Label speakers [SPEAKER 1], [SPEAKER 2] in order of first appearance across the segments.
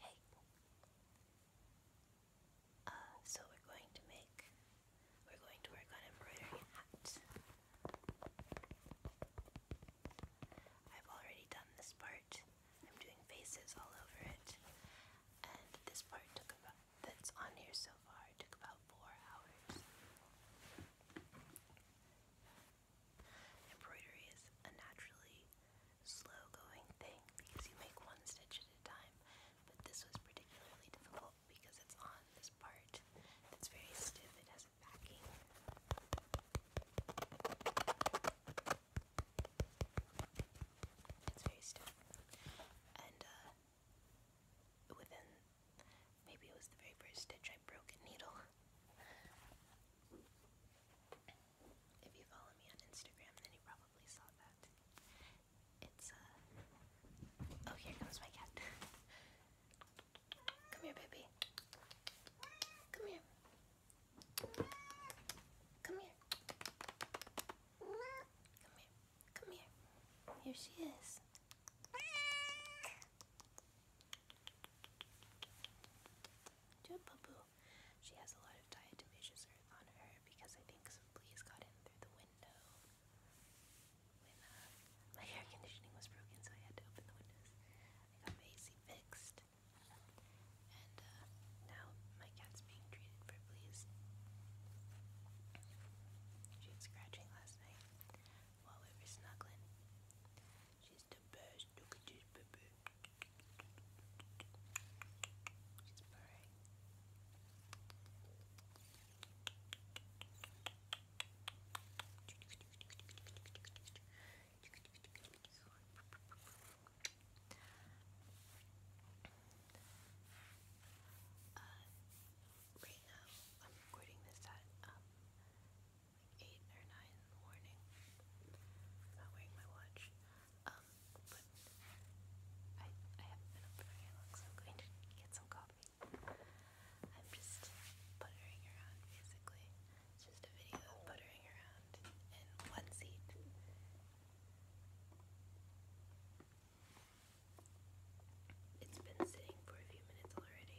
[SPEAKER 1] Hey! Uh, so we're going to make, we're going to work on embroidery I've already done this part. I'm doing faces all over it. And this part took about, that's on here so far, took about four hours. Embroidery is a naturally slow going thing because you make one stitch at a time, but this was particularly difficult because it's on this part that's very stiff, it has a backing. It's very stiff. And uh, within, maybe it was the very first stitch I broke a needle. If you follow me on Instagram, then you probably saw that. It's, uh... Oh, here comes my cat. Come here, baby. Come here. Come here. Come here. Come here. Here she is. Do a poo she has a lot of diatom issues on her because I think some fleas got in through the window uh, my air conditioning was broken, so I had to open the windows. I got my fixed, and uh, now my cat's being treated for fleas. She was scratching last night while we were snuggling. She's the best. Look at this baby. She's purring. right now, I'm recording this at um, like 8 or 9 morning. not wearing my watch. Um, but I, I have been up for very long, so I'm going to get some coffee. I'm just puttering around, basically. It's just a video of puttering around in one seat. It's been sitting for a few minutes already.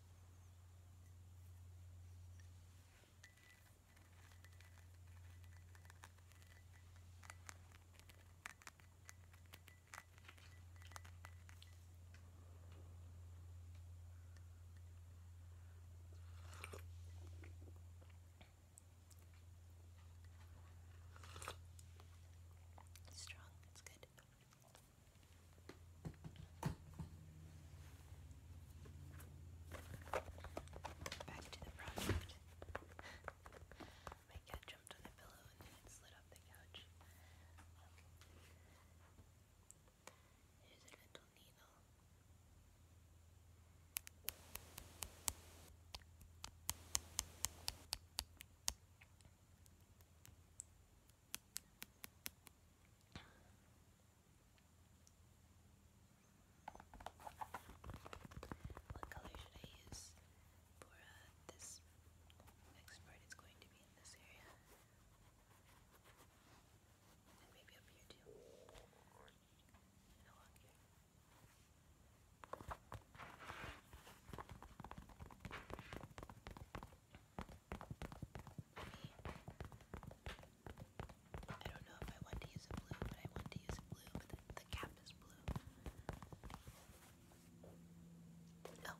[SPEAKER 1] It's strong, it's good. Back to the project. My cat jumped on the pillow and then it slid off the couch. Um, here's a little needle. What color should I use for uh, this next part? It's going to be in this area. And maybe up here too. And along here. I don't know if I want to use a blue, but I want to use a blue, but the, the cap is blue. Oh. Purple.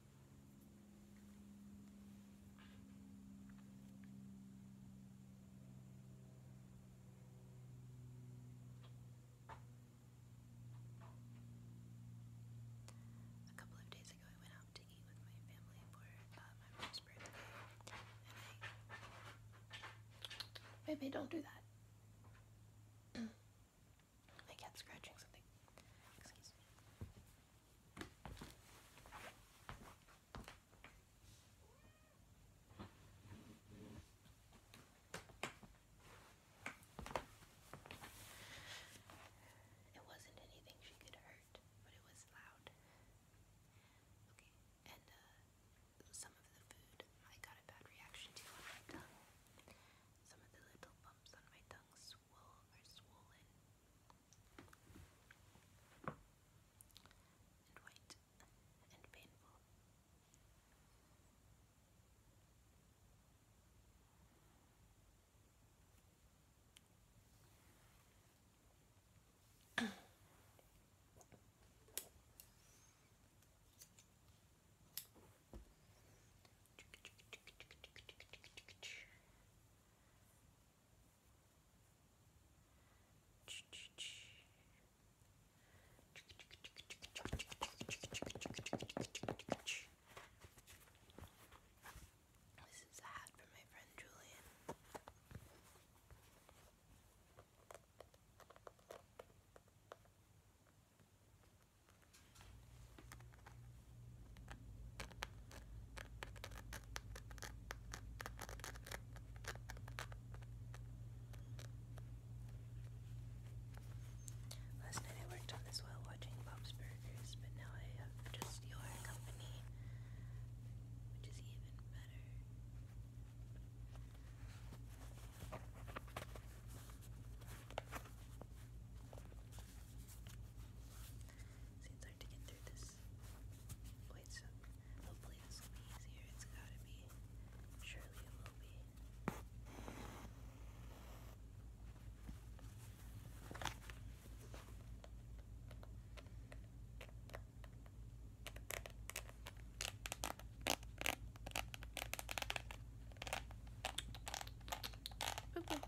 [SPEAKER 1] A couple of days ago, I went out to eat with my family for my mom's birthday, and don't do that. My cat's scratching something. It wasn't anything she could hurt, but it was loud. Okay, and uh, some of the food I got a bad reaction to on my tongue. Some of the little bumps on my tongue swole are swollen and white and painful. This is a hat from my friend Julian. Last night I worked on this while watching Bob's Burgers, but now I have just your company, which is even better. See, it's hard to get through this. Wait, so hopefully this will be easier. It's gotta be. Surely it will be. Okay.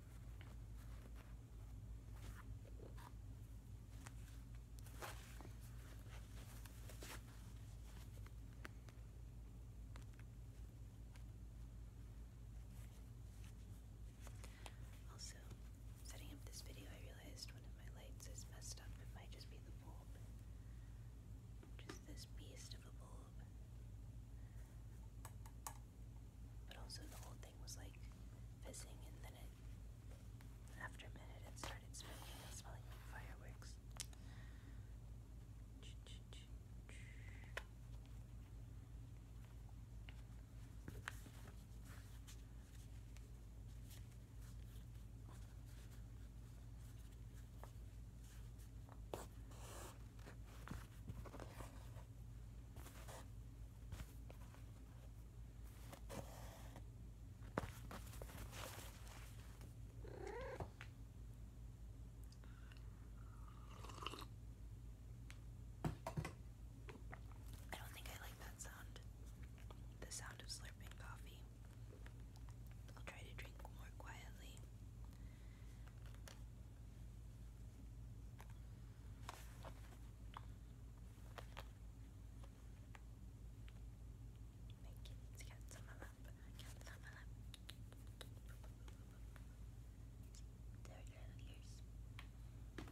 [SPEAKER 1] Also, setting up this video, I realized one of my lights is messed up. It might just be the bulb. Just this beast of a bulb. But also the whole thing was like fizzing and then after a minute it started smelling like fireworks. I don't think I like that sound. The sound of slurping coffee. I'll try to drink more quietly Thank you. Let's get some of them up. Get some of them. There you go, ears. Thank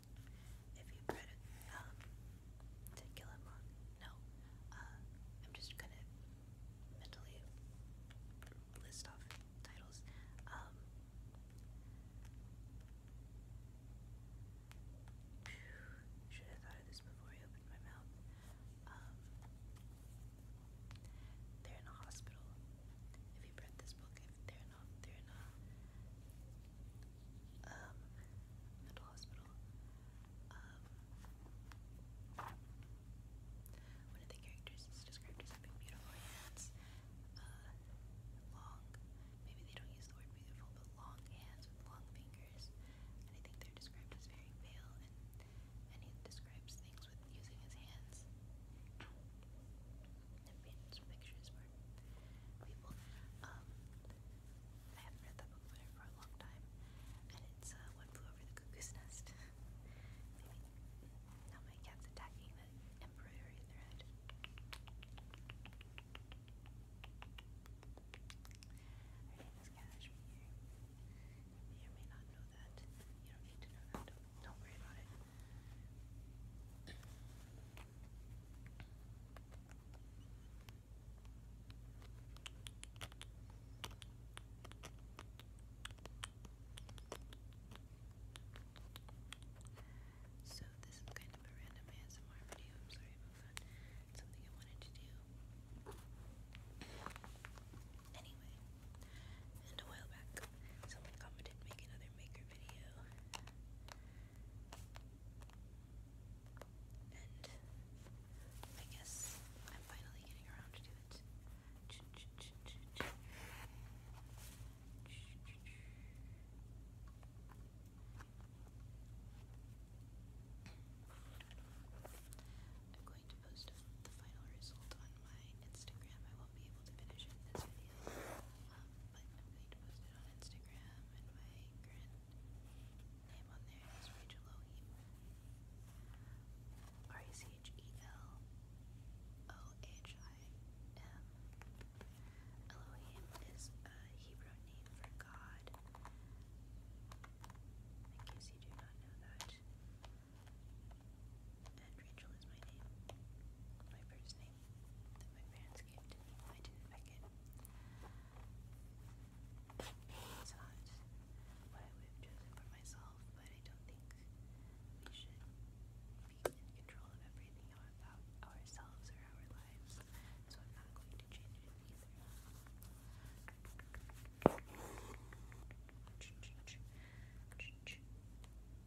[SPEAKER 1] If you put it, um, to kill him wrong. No. Uh, I'm just gonna mentally list off titles. Um, should have thought of this before I opened my mouth. Um, they're in a hospital. If you've read this book, they're in Nocturna um, mental hospital. one of the characters is described as having beautiful hands, long, maybe they don't use the word beautiful, but long hands with long fingers. And they're described as very pale, and he describes things with using his hands and I haven't read that book for a long time, and it's uh, One Flew Over the Cuckoo's Nest. now my cat's attacking the embroidery in their head. Her name is You may or may not know that. You don't need to know that. don't worry about it. So this is kind of a random ASMR video. I'm sorry about that. something I wanted to do. Anyway, and a while back, someone commented make another maker video. And I guess I'm finally getting around to it. I'm going to post the final result on my Instagram. I won't be able to finish it in this video. Um, but I posted on Instagram, and my name on there is Rachel O'Heap. R A C H E L O H I M. Elohim is a Hebrew name for God. In case you do not know that. And Rachel is my name, my first name that my parents gave to me. I didn't pick it. It's I would have for myself, but I don't think we should be in control of everything about ourselves or our lives, so I'm not going to change it either.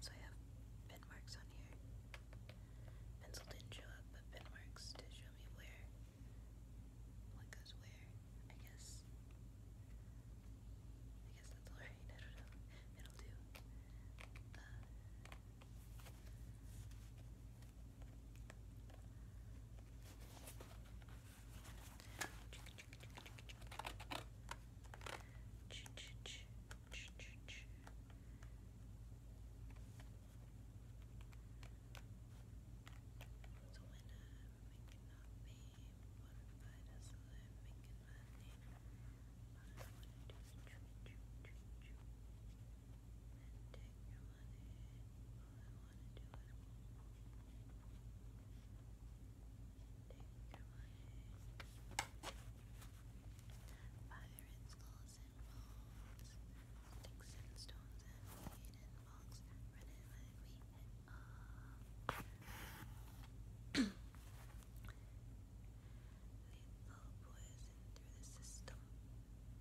[SPEAKER 1] So I have pen marks on here. Pencil didn't show up, but pen marks to show me where what goes where, I guess. I guess that's alright, I don't know. It'll do. Uh, what I want to do is chew, chew, chew, chew, and take your through the and bones, sticks and stones and weed and bugs, run and let it be hit off. poison through the system.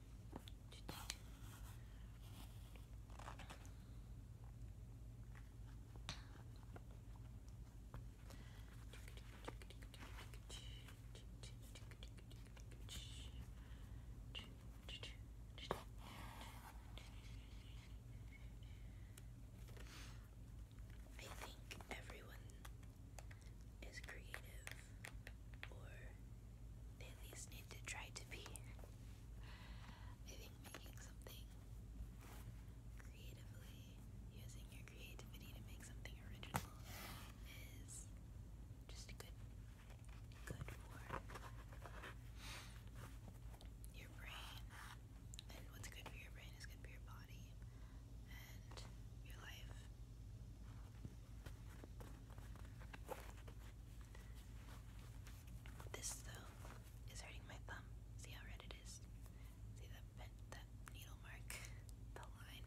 [SPEAKER 1] I think everyone is creative, or at least need to try to be. I think making something creatively, using your creativity to make something original, is just good, good for your brain. And what's good for your brain is good for your body and your life. This though is hurting my thumb. See how red it is? See that that needle mark, the line.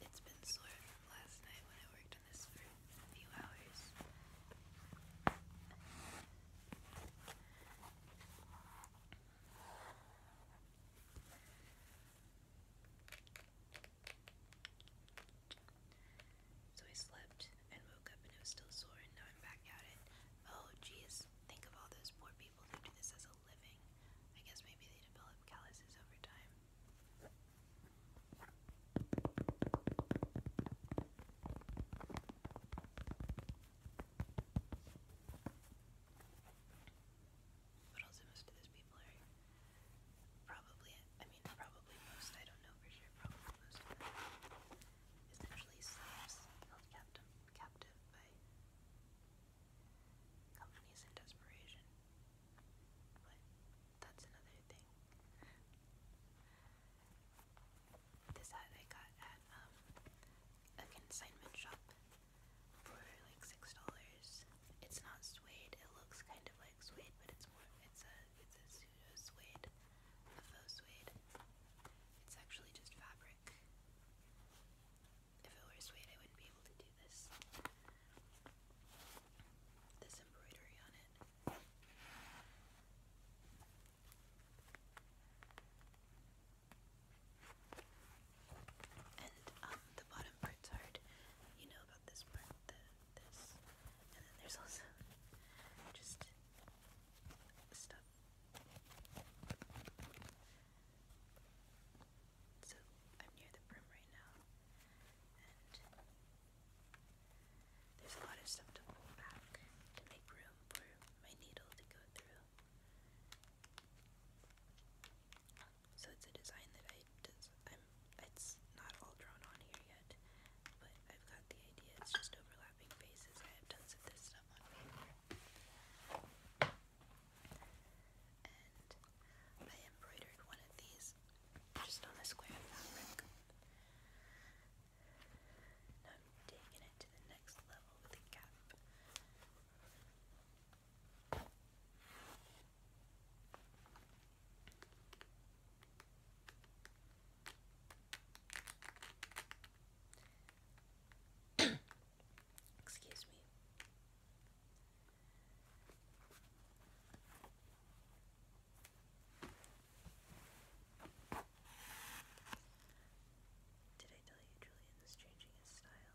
[SPEAKER 1] it's been sore from last night when I worked on this for a few hours. So I slept and woke up and it was still sore and now I'm back at it. Oh geez, think of all those poor people who do this as a living. I guess maybe they develop calluses over time but also most of those people are probably, I mean, probably most, I don't know for sure, probably most of them slaves held captive, captive by companies in desperation. But that's another thing. This hat I got at um, a consignment shop for like six dollars. It's not suede. It looks kind of like suede, but it's more. It's a. It's a pseudo suede, a faux suede. It's actually just fabric. If it were suede, I wouldn't be able to do this. This embroidery on it. And um, the bottom part's hard. You know about this part, this. And then there's also just stuff. So I'm near the brim right now. And there's a lot of stuff to pull back to make room for my needle to go through. So it's a design that I I'm it's not all drawn on here yet, but I've got the idea. It's just overlapping faces. I have tons of this stuff on paper. And I embroidered one of these just on a square of fabric. Now I'm taking it to the next level with a cap. Excuse me. Did I tell you Julian is changing his style?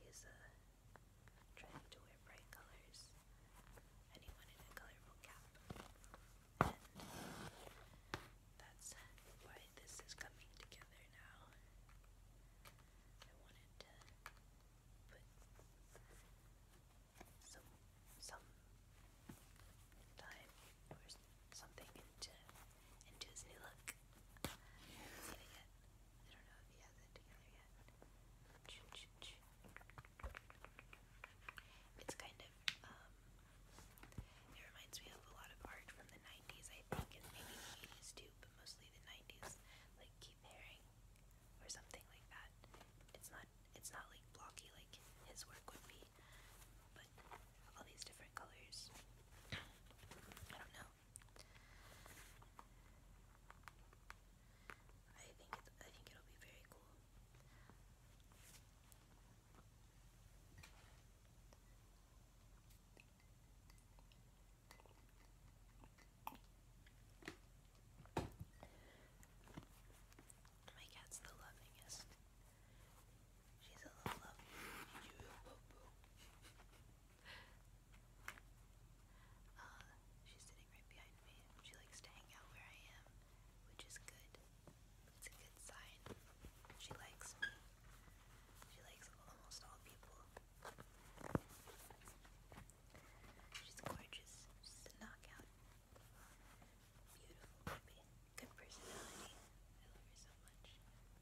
[SPEAKER 1] He's uh, trying to wear bright colors, and he wanted a colorful cap. that's why this is coming together now. I wanted to put some some time or something into into his new look. It's kind of, um, it reminds me of a lot of art from the 90s, I think, and maybe 80s too, but mostly the 90s, like Keith Haring or something like that. It's not, it's not like blocky like his work would be, but all these different colors. I don't know. I think it, I think it'll be very cool. My cat's the lovingest. She's a little love. Uh, she's sitting right behind me. She likes to hang out where I am, which is good. It's a good sign. She likes me. She likes almost all people. She's gorgeous. She's a knockout. Beautiful baby. Good personality. I love her so much.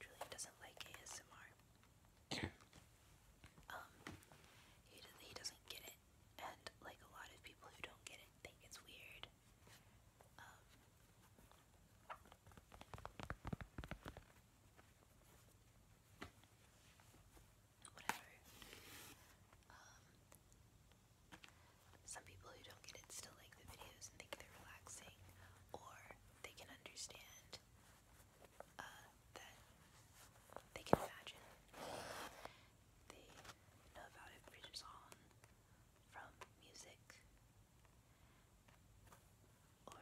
[SPEAKER 1] Julian doesn't like ASMR. um, he, doesn't get it, and like a lot of people who don't get it think it's weird. Um, whatever. Um, some people who don't get it still like the videos and think they're relaxing, or they can understand uh, that they can imagine. They know about it from music. Um,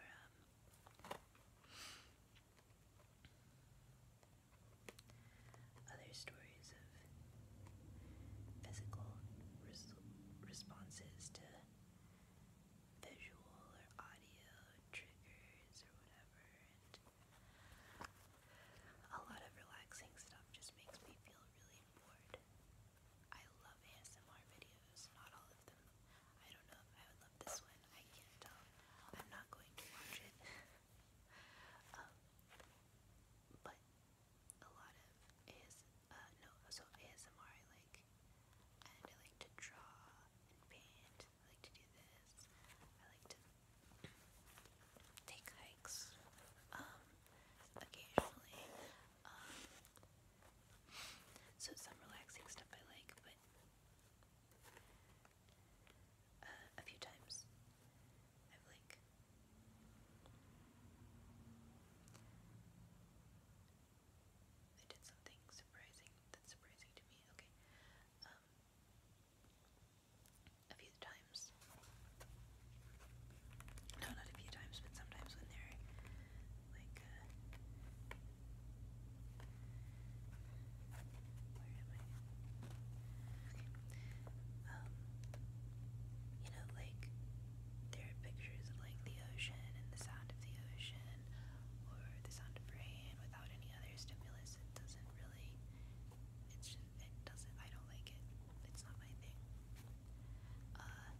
[SPEAKER 1] other stories of physical responses to visual or audio triggers or whatever, and a lot of relaxing stuff just makes me feel really bored. I love ASMR videos reviews, not all of them. I don't know if I would love this one. I can't tell. I'm not going to watch it. Um, but a lot of is uh, no, so ASMR I like, I like to draw and paint. I like to do this. I like to take hikes. Um, occasionally. Um, so some relaxing stuff I like, but uh, a few times. I've like I did something surprising that's surprising to me. Okay. Um, a few times. No, not a few times, but sometimes when they're like uh, um, you know like there are pictures of like the ocean and the sound of the ocean or the sound of rain without any other stimulus. It doesn't really it's just, it doesn't I don't like it. It's not my thing. Uh,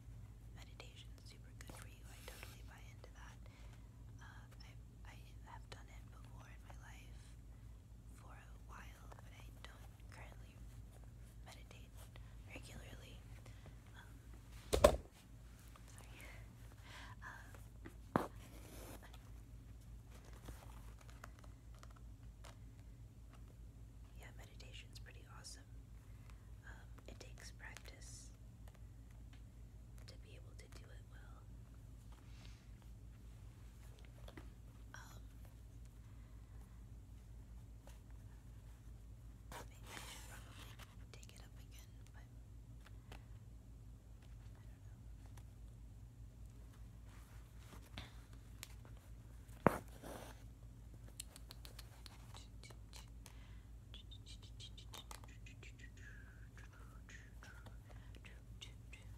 [SPEAKER 1] meditation's super good for you. I totally buy into that. Um, I, have done it before in my life for a while, but I don't currently meditate regularly. Um, sorry. Um, pretty awesome. Um, it takes practice else to be able to do it well. Um, I should probably take it up again, but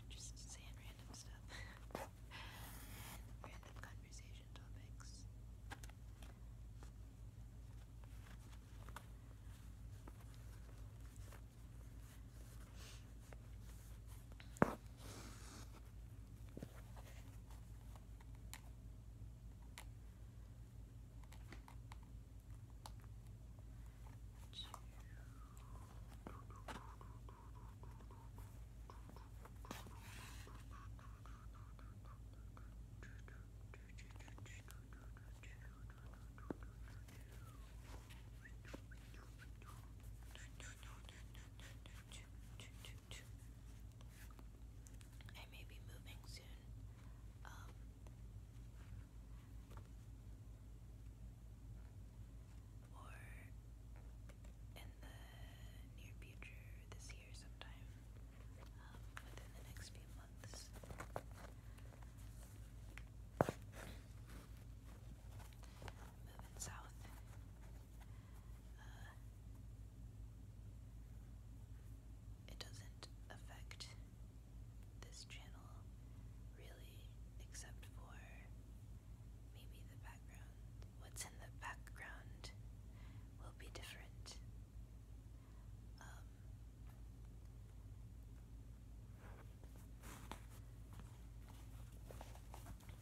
[SPEAKER 1] just saying random stuff. random conversation topics. I may be moving soon. Um, or in the near future, this year sometime, um, within the next few months. Moving south. Uh, it doesn't affect this channel, really, except for maybe the background. What's in the background will be different. Um,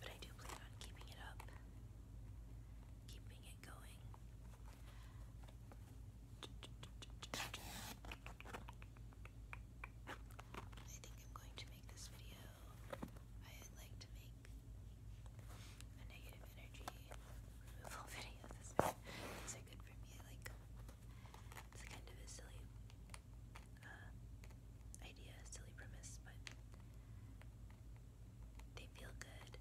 [SPEAKER 1] but I do plan on keeping it up, keeping it going. I think I'm going to make this video. I would like to make a negative energy removal video. This is good for me. Like it's kind of a silly uh, idea, silly premise, but they feel good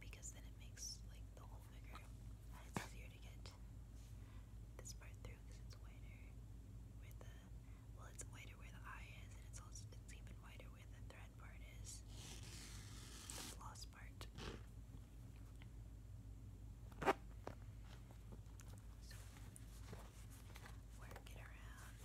[SPEAKER 1] because then it makes like the whole figure it's easier to get this part through because it's wider where the well it's wider where the eye is and it's also it's even wider where the thread part is the floss part so work it around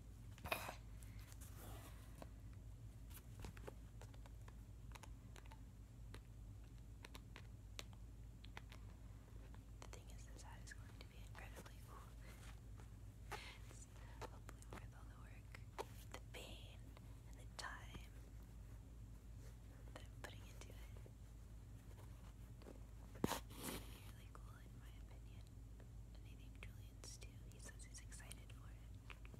[SPEAKER 1] The thing is, this hat is going to be incredibly cool. hopefully worth all the work, the pain, and the time that I'm putting into it. really cool, in my opinion. I think Julian's too. He says he's excited for it. It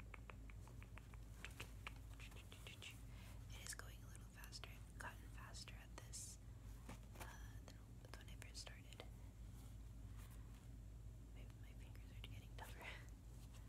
[SPEAKER 1] is going a little faster. I've gotten faster at this uh, than when I first started. my fingers are getting tougher.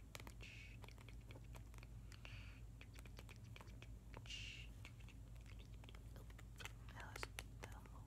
[SPEAKER 1] I lost the hole.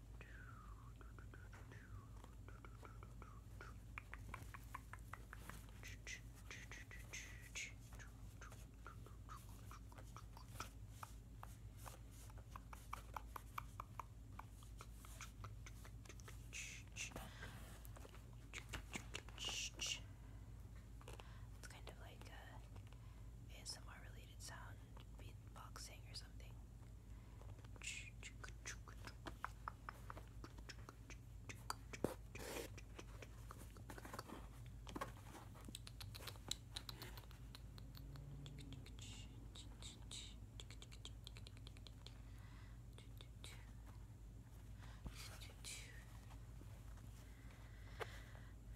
[SPEAKER 1] It's kind of like a ASMR related sound, beatboxing or something.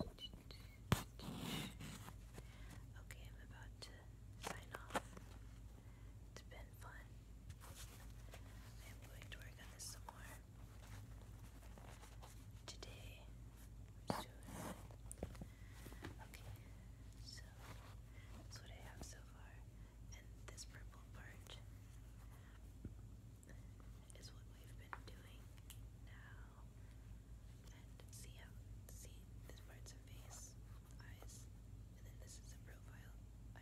[SPEAKER 1] Okay, I'm about to sign off. It's been fun. I am going to work on this some more today, Okay, so that's what I have so far. And this purple part is what we've been doing now. And see how, see, this part's a face, eyes, and then this is a profile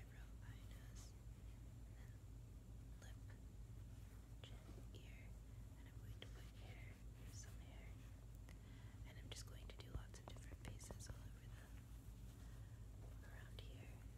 [SPEAKER 1] eyebrow, eyes, lip, ear, and I'm going to put hair, some hair, and I'm just going to do lots of different faces all over the, around here.